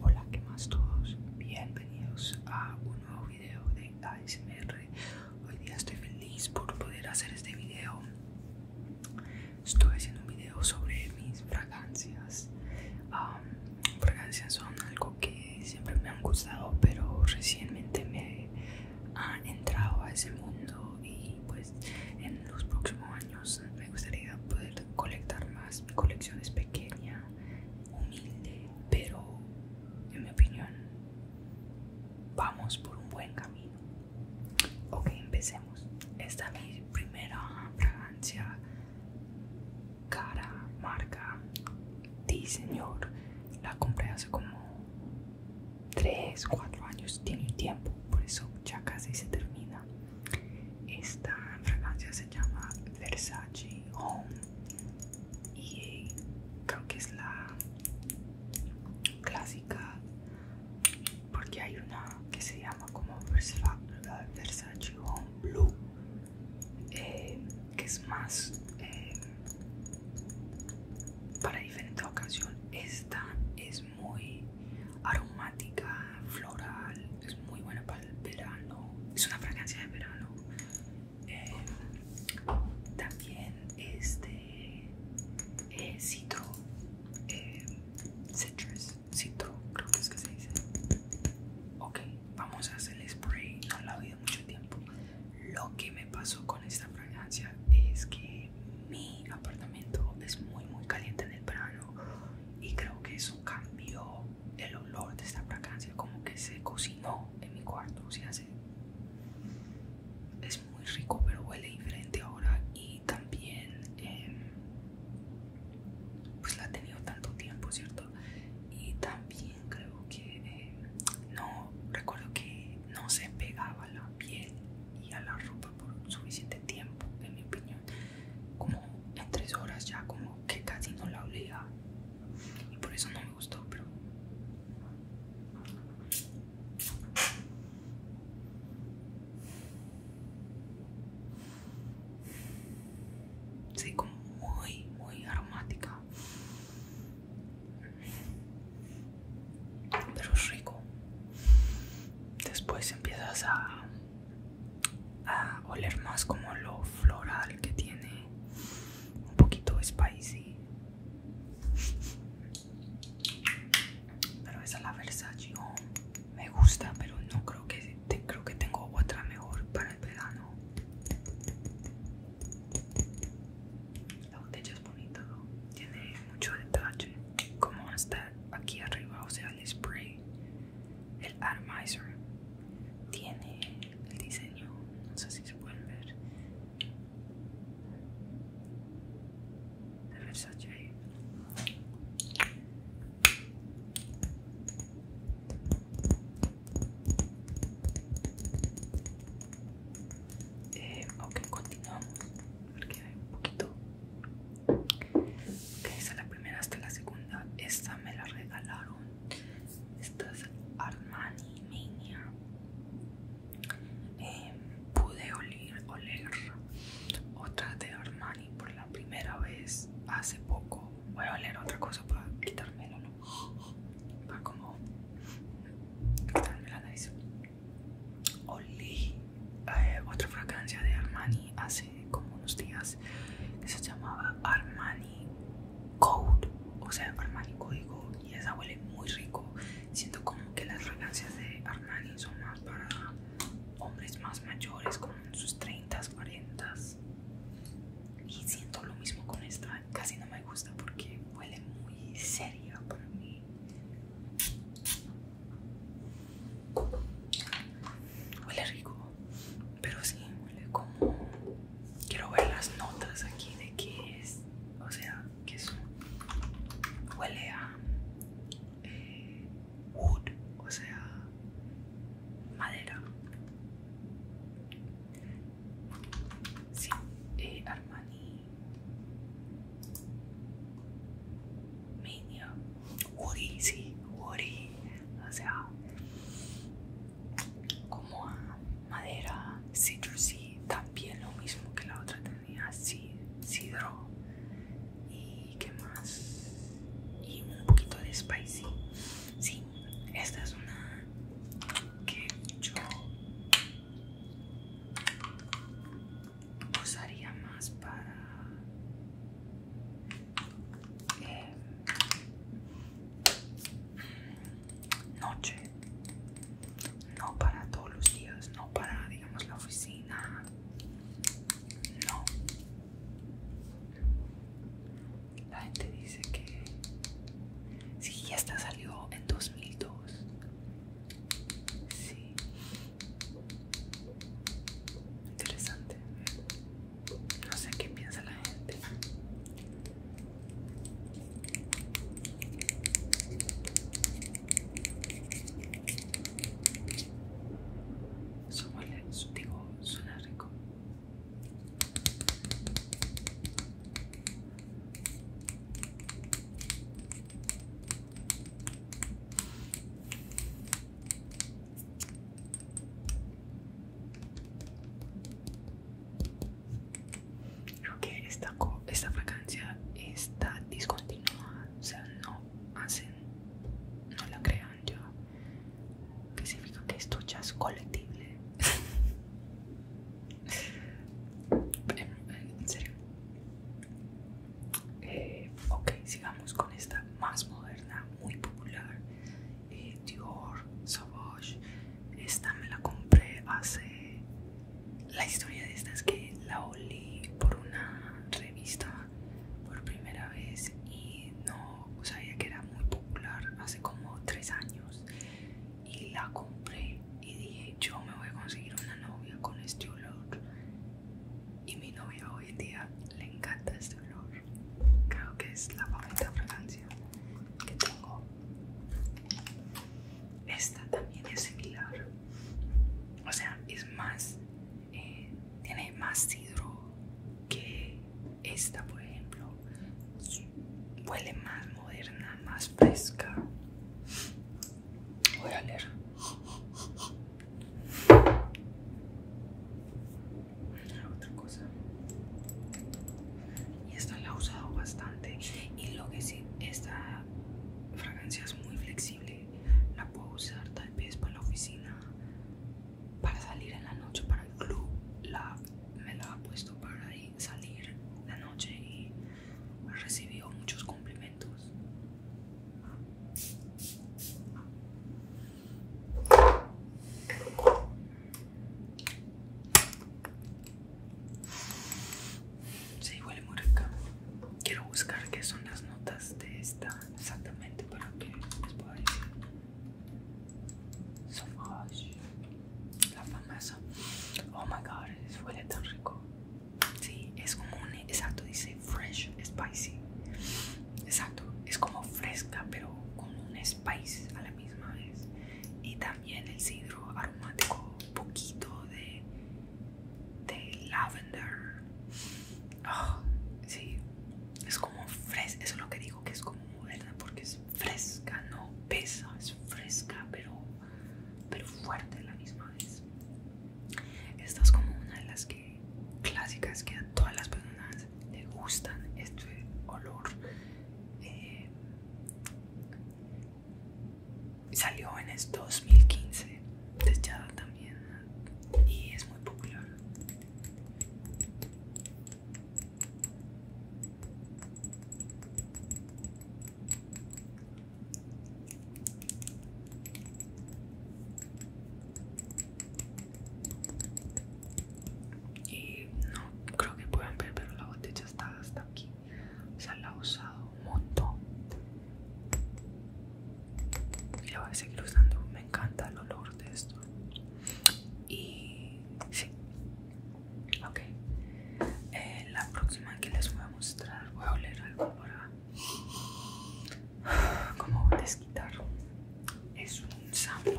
Hola, ¿qué más todos? Bienvenidos a un nuevo video de ASMR. Hoy día estoy feliz por poder hacer este video. Estoy haciendo un video sobre mis fragancias. fragancias son algo que siempre me han gustado, pero recientemente me han entrado a ese mundo y pues en los próximos años me gustaría poder colectar más colecciones pequeñas humilde, pero en mi opinión vamos por un buen camino. Ok, empecemos. Esta es mi primera fragancia cara, marca, diseñor. La compré hace como 3, 4 años, tiene tiempo, por eso ya casi se termina. Esta fragancia se llama Versace Home y creo que es la clásica porque hay una que se llama como Versace Home Blue eh, que es más eh, para diferente ocasión esta es muy aromática floral es muy buena para el verano, es una fragancia de verano. Eh, también este eh, citro, eh, citrus, citro, creo que es que se dice. Ok, vamos a hacer el spray, no la he oído mucho tiempo. Lo que me pasó con esta fragancia es que mi apartamento es muy muy caliente en el verano y creo que eso cambió el olor de esta fragancia como que se cocinó en mi cuarto, o sea, es muy rico pero huele diferente ahora y también em, pues la ha tenido tanto tiempo, ¿cierto? Y también creo que em, no, recuerdo que no se pegaba a la piel y a la ropa por suficiente tiempo, en mi opinión como en tres horas ya como que casi no la olía y por eso no me gustó pero sí como muy muy aromática pero es rico después empiezas a a oler más como lo floral que tiene un poquito spicy pero esa es la Versace oh, me gusta pero no creo que creo que tengo otra mejor para el verano la botella es bonita tiene mucho detalle como hasta aquí arriba o sea el spray el Atomizer tiene el diseño, no sé si se pueden ver, de Versace. Eh, ok, continuamos porque hay un poquito. Ok, esta es la primera hasta la segunda. Esta me la regalaron esta es Armani Mania eh, pude oler, oler otra de Armani por la primera vez hace poco voy a oler otra cosa para el ¿no? para como quitarme la nariz olí eh, otra fragancia de Armani hace como unos días se llamaba Armani Code, o sea, Armani Código, y esa huele muy rico. Siento como que las fragancias de Armani son más para hombres más mayores, como sus 30, 40. Y siento lo mismo con esta, casi no me gusta porque huele muy seria para mí huele rico, pero sí, huele como... Quiero ver las notas aquí de que es, o sea, que es... Huele a... Eh, wood, o sea, madera. Sí, eh, Armani. Mania. Woody, sí, Woody. O sea, como a madera citrusy también lo mismo que la otra tenía sidro y qué más y un poquito de spicy sí esta es una que yo usaría más para eh, noche, no para todos los días, no para, digamos, la oficina, no. La gente dice que si sí, ya está salió en 2002, sí. Interesante. No sé qué piensa la gente. Somos digo, suena rico. Creo que esta, vacancia fragancia está discontinuada, o sea, no hacen, no la crean yo. ¿Qué significa que esto ya es colectible. en serio. Eh, ok, sigamos con esta más moderna, muy popular eh, Dior Sauvage esta me la compré hace la historia de esta es que la olí por una revista por primera vez y no sabía que era muy popular hace como tres años y la compré y dije yo me voy a conseguir una novia con este olor y mi novia hoy en día le encanta este olor creo que es la favorita fragancia que tengo esta también es similar o sea es más eh, tiene más hidro que esta por ejemplo huele más moderna más fresca voy a leer otra cosa y esta la he usado bastante y lo que sí esta fragancia es muy flexible la puedo usar tal vez para la oficina para salir en la noche para el club la, me la he puesto para salir la noche y ha recibido muchos cumplimientos Sí, huele muy rico Quiero buscar qué son las notas de esta exactamente para que les pueda decir. la famosa. Oh my god, huele tan rico. Sí, es como un exacto, dice fresh, spicy. Exacto, es como fresca, pero con un a la misma vez. Y también el cidro aromático, un poquito de, de lavender. Ah, es como fresca, eso es lo que digo que es como moderna porque es fresca, no pesa, es fresca, pero, pero fuerte a la misma vez. Esta es como una de las clásicas que a todas las personas les gustan este olor eh, salió en el 2015 De también y es muy popular y no creo que puedan ver pero la botella está hasta aquí o sea la ha usado un montón y la voy a seguir usando me encanta el olor de esto y sí ok eh, la próxima que les voy a mostrar voy a oler algo para como desquitar es un sample,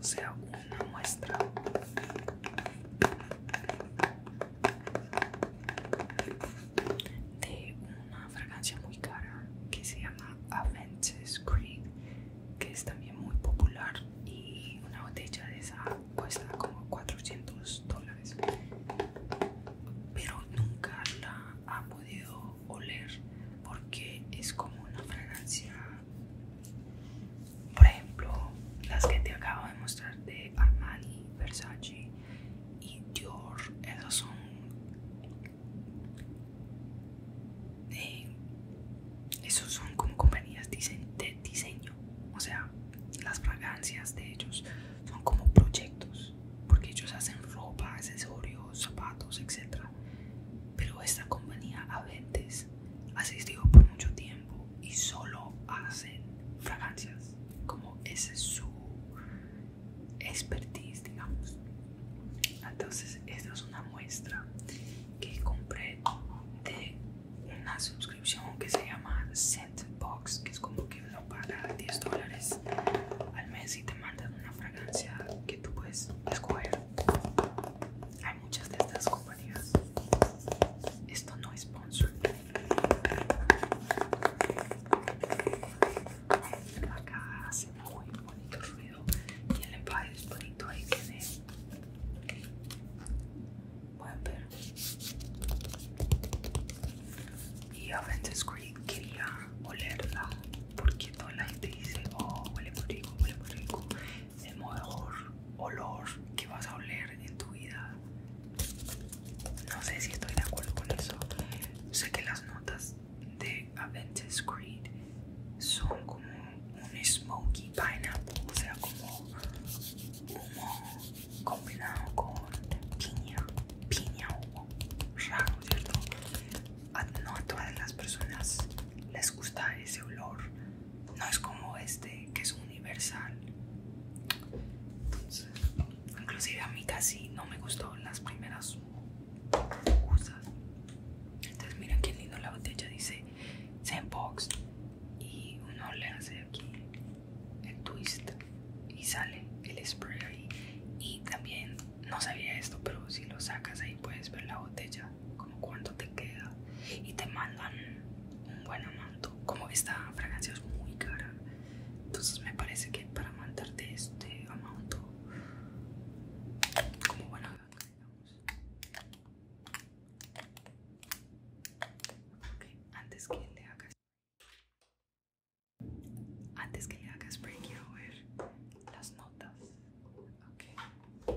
o sea, una muestra. De una fragancia muy cara que se llama Aventus Cream que es también muy popular y una botella de esa cuesta como 400 dólares. Pero nunca la ha podido oler porque es como una fragancia por ejemplo las que te acabo de mostrar de Armani, Versace y Dior, son esos son como compañías de diseño, o sea, las fragancias de ellos son como proyectos, porque ellos hacen ropa, accesorios, zapatos, etc pero esta compañía Aventes ha existido por mucho tiempo y solo hace fragancias, como ese es su expertise, digamos. Entonces, esta es una muestra que compré de una suscripción que se llama Scentbox, que es como que lo paga 10 dólares al mes y te mandan una fragancia que tú puedes escoger. Hay muchas de estas compañías. Esto no es sponsor. Acá hace muy bonito ruido y el empaque es bonito. Ahí tiene. Pueden ver. Y a veces quería olerla porque toda la gente dice: Oh, huele muy rico, huele muy rico el mejor olor que vas a oler en tu vida. No sé si estoy de acuerdo con eso. Sé que las notas de Aventus Creed son como un smoky pineapple, o sea, como humo combinado con piña, piña humo, raro, ¿cierto? no a todas las personas les gusta ese olor, no es como este que es universal inclusive a mí casi no me gustó las primeras usas entonces mira qué lindo la botella dice Zenbox y uno le hace aquí el twist y sale el spray ahí y también no sabía esto pero si lo sacas ahí puedes ver la botella como cuánto te queda, y te mandan un buen amanto. Como esta fragancia es muy cara, entonces me parece que para mandarte este amanto, como buena antes que le hagas antes que le hagas quiero ver las notas Ok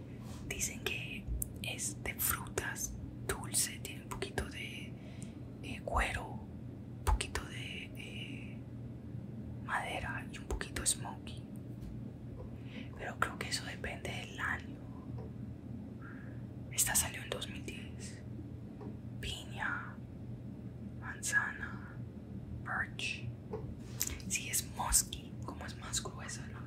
Dicen que es de frutas dulce, tiene un poquito de eh, cuero, un poquito de eh, madera y un poquito smoky. Pero creo que eso depende del año. Esta salió en 2010. Piña, manzana, birch. Si sí, es musky, como es más gruesa, no.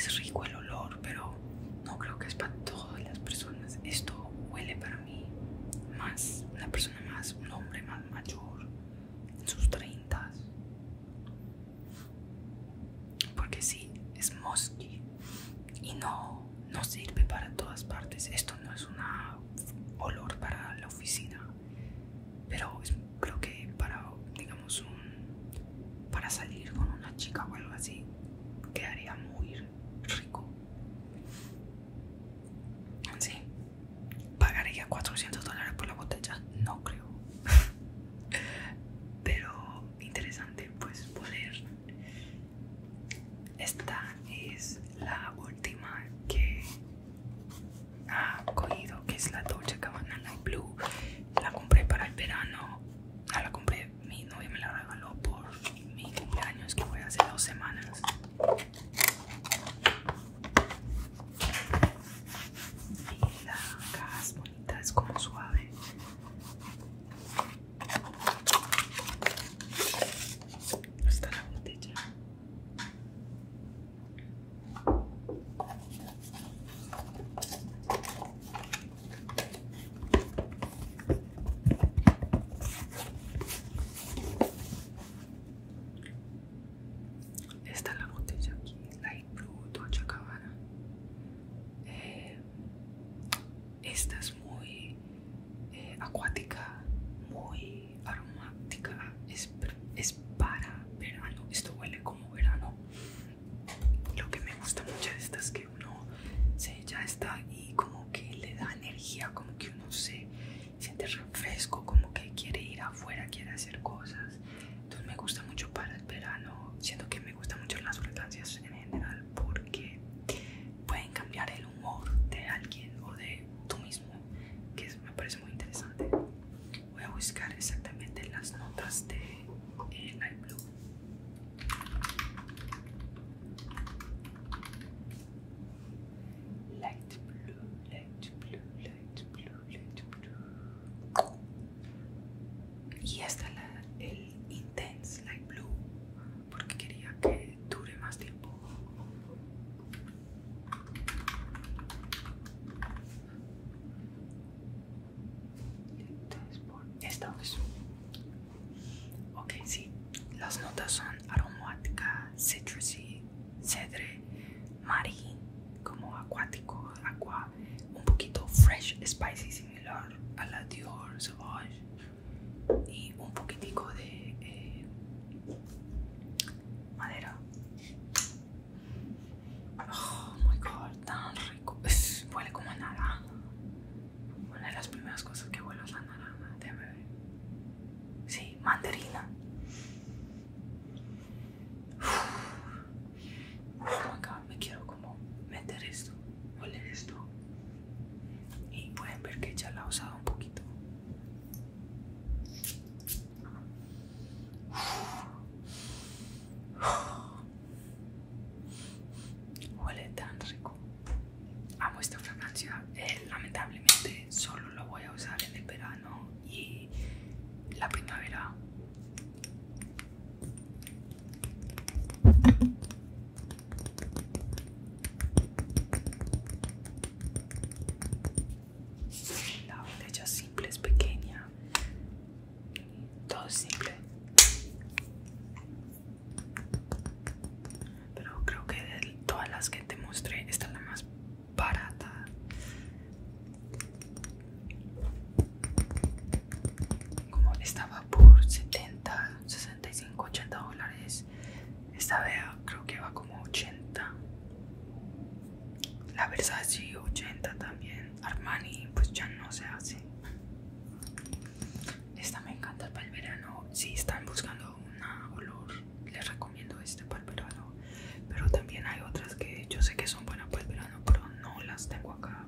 Es, rico el olor, pero no creo que es para todas las personas. Esto huele para mí más, una persona más, un hombre más mayor, en sus treintas. Porque sí, es musky y no no, sirve para todas partes. Esto no es un olor para la oficina, pero creo que para, digamos, un, para salir con una chica o algo así, quedaría muy rico. Sí, pagaría 400 dólares por la botella, no creo. Pero interesante pues poder esta es la última que ha cogido que es la Dolce Gabbana Blue la compré para el verano no, ah, la compré mi novia me la regaló por mi años que fue hace dos semanas y la caja es bonita es como suave Está la botella. Está la botella aquí, Light Blue, docha esta es muy eh, acuática, muy aromática, es, para verano, esto huele como verano. Lo que me gusta mucho de esta es que uno se ya está y como que le da energía, como que uno se siente refresco, como que quiere ir afuera, quiere hacer cosas. Entonces me gusta mucho para el verano, siento que me gustan mucho las fragancias en general porque pueden cambiar el humor de alguien o de tú mismo, que me parece muy interesante. Voy a buscar exactamente las notas de eh, Light Blue. Light blue, light blue, light blue, blue. Y hasta la, el Intense Light Blue porque quería que dure más tiempo. es. Ok, sí. Las notas son aromática, citrusy, cedre, marín, como acuático, agua, un poquito fresh, spicy, similar a la Dior Sauvage y un poquitico de eh, madera. Oh my god, tan rico. huele como naranja. Una de las primeras cosas que huele es la naranja. de bebé Sí, mandarina. Oh my god, me quiero como meter esto. oler esto y pueden ver que ya la he usado un poquito huele tan rico amo esta fragancia eh, lamentablemente solo lo voy a usar en el verano y la primavera la botella simple es pequeña. Todo simple. Pero creo que de todas las que te mostré, esta es la más barata. Como estaba por 70, 65, 80 dólares. Esta vea creo que va como 80. La Versace 80 también. Armani pues ya no se hace. Esta me encanta para el verano. Si están buscando un olor, les recomiendo este para el verano. Pero también hay otras que yo sé que son buenas para el verano, pero no las tengo acá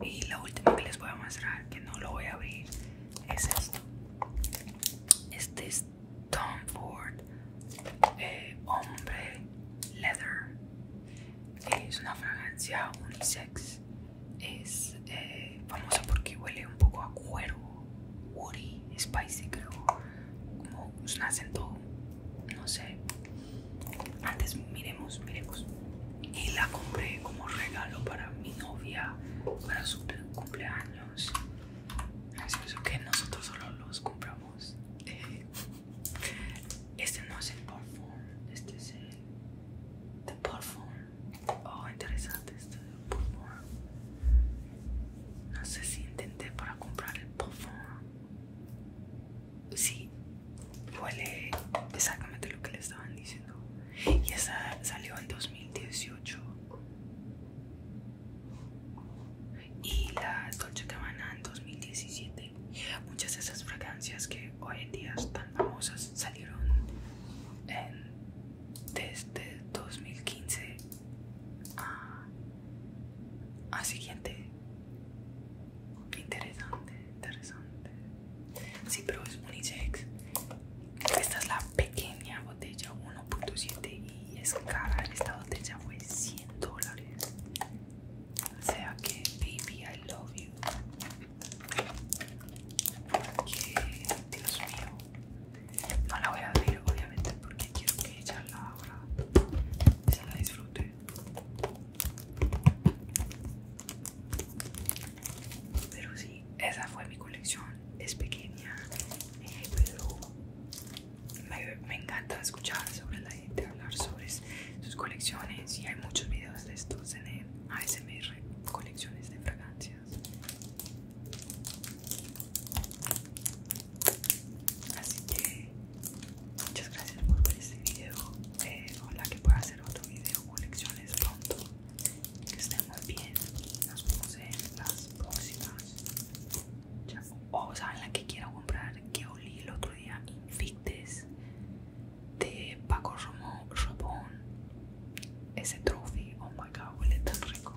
y la última que les voy a mostrar que no lo voy a abrir es esto este es Tom Ford eh, hombre leather es una fragancia unisex es eh, famosa porque huele un poco a cuero woody spicy creo como un acento no sé antes miremos miremos y la compré como regalo para mi novia para su cumpleaños. Así que nosotros solo los compramos. Eh, este no es el perfume este es el the Oh, interesante este perfume No sé si intenté para comprar el perfume Sí, huele exactamente lo que le estaban diciendo. Y esa salió en 2018. Y la Dolce Gabbana en 2017. Muchas de esas fragancias que hoy en día están famosas salieron desde 2015 a, a siguiente. Interesante, interesante. Sí, pero es unisex esta es la pequeña botella 1.7 y es cara. Esta botella fue 100 dólares. O sea que, baby, I love you. Porque, Dios mío, no la voy a abrir, obviamente, porque quiero que ella la abra y se la disfrute. Pero sí, esa fue mi colección. Es pequeña, eh, pero me, encanta escuchar sobre la gente, hablar sobre sus colecciones. Y hay muchos videos de estos en el ASMR, colecciones de fragancias. Así que muchas gracias por ver este video. Eh, que pueda hacer otro video colecciones pronto que estén muy bien y nos vemos en las próximas. O sea, en la que quiero comprar que olí el otro día, Invictes de Paco Romo, Robón. Ese trofeo, oh my god, huele tan rico.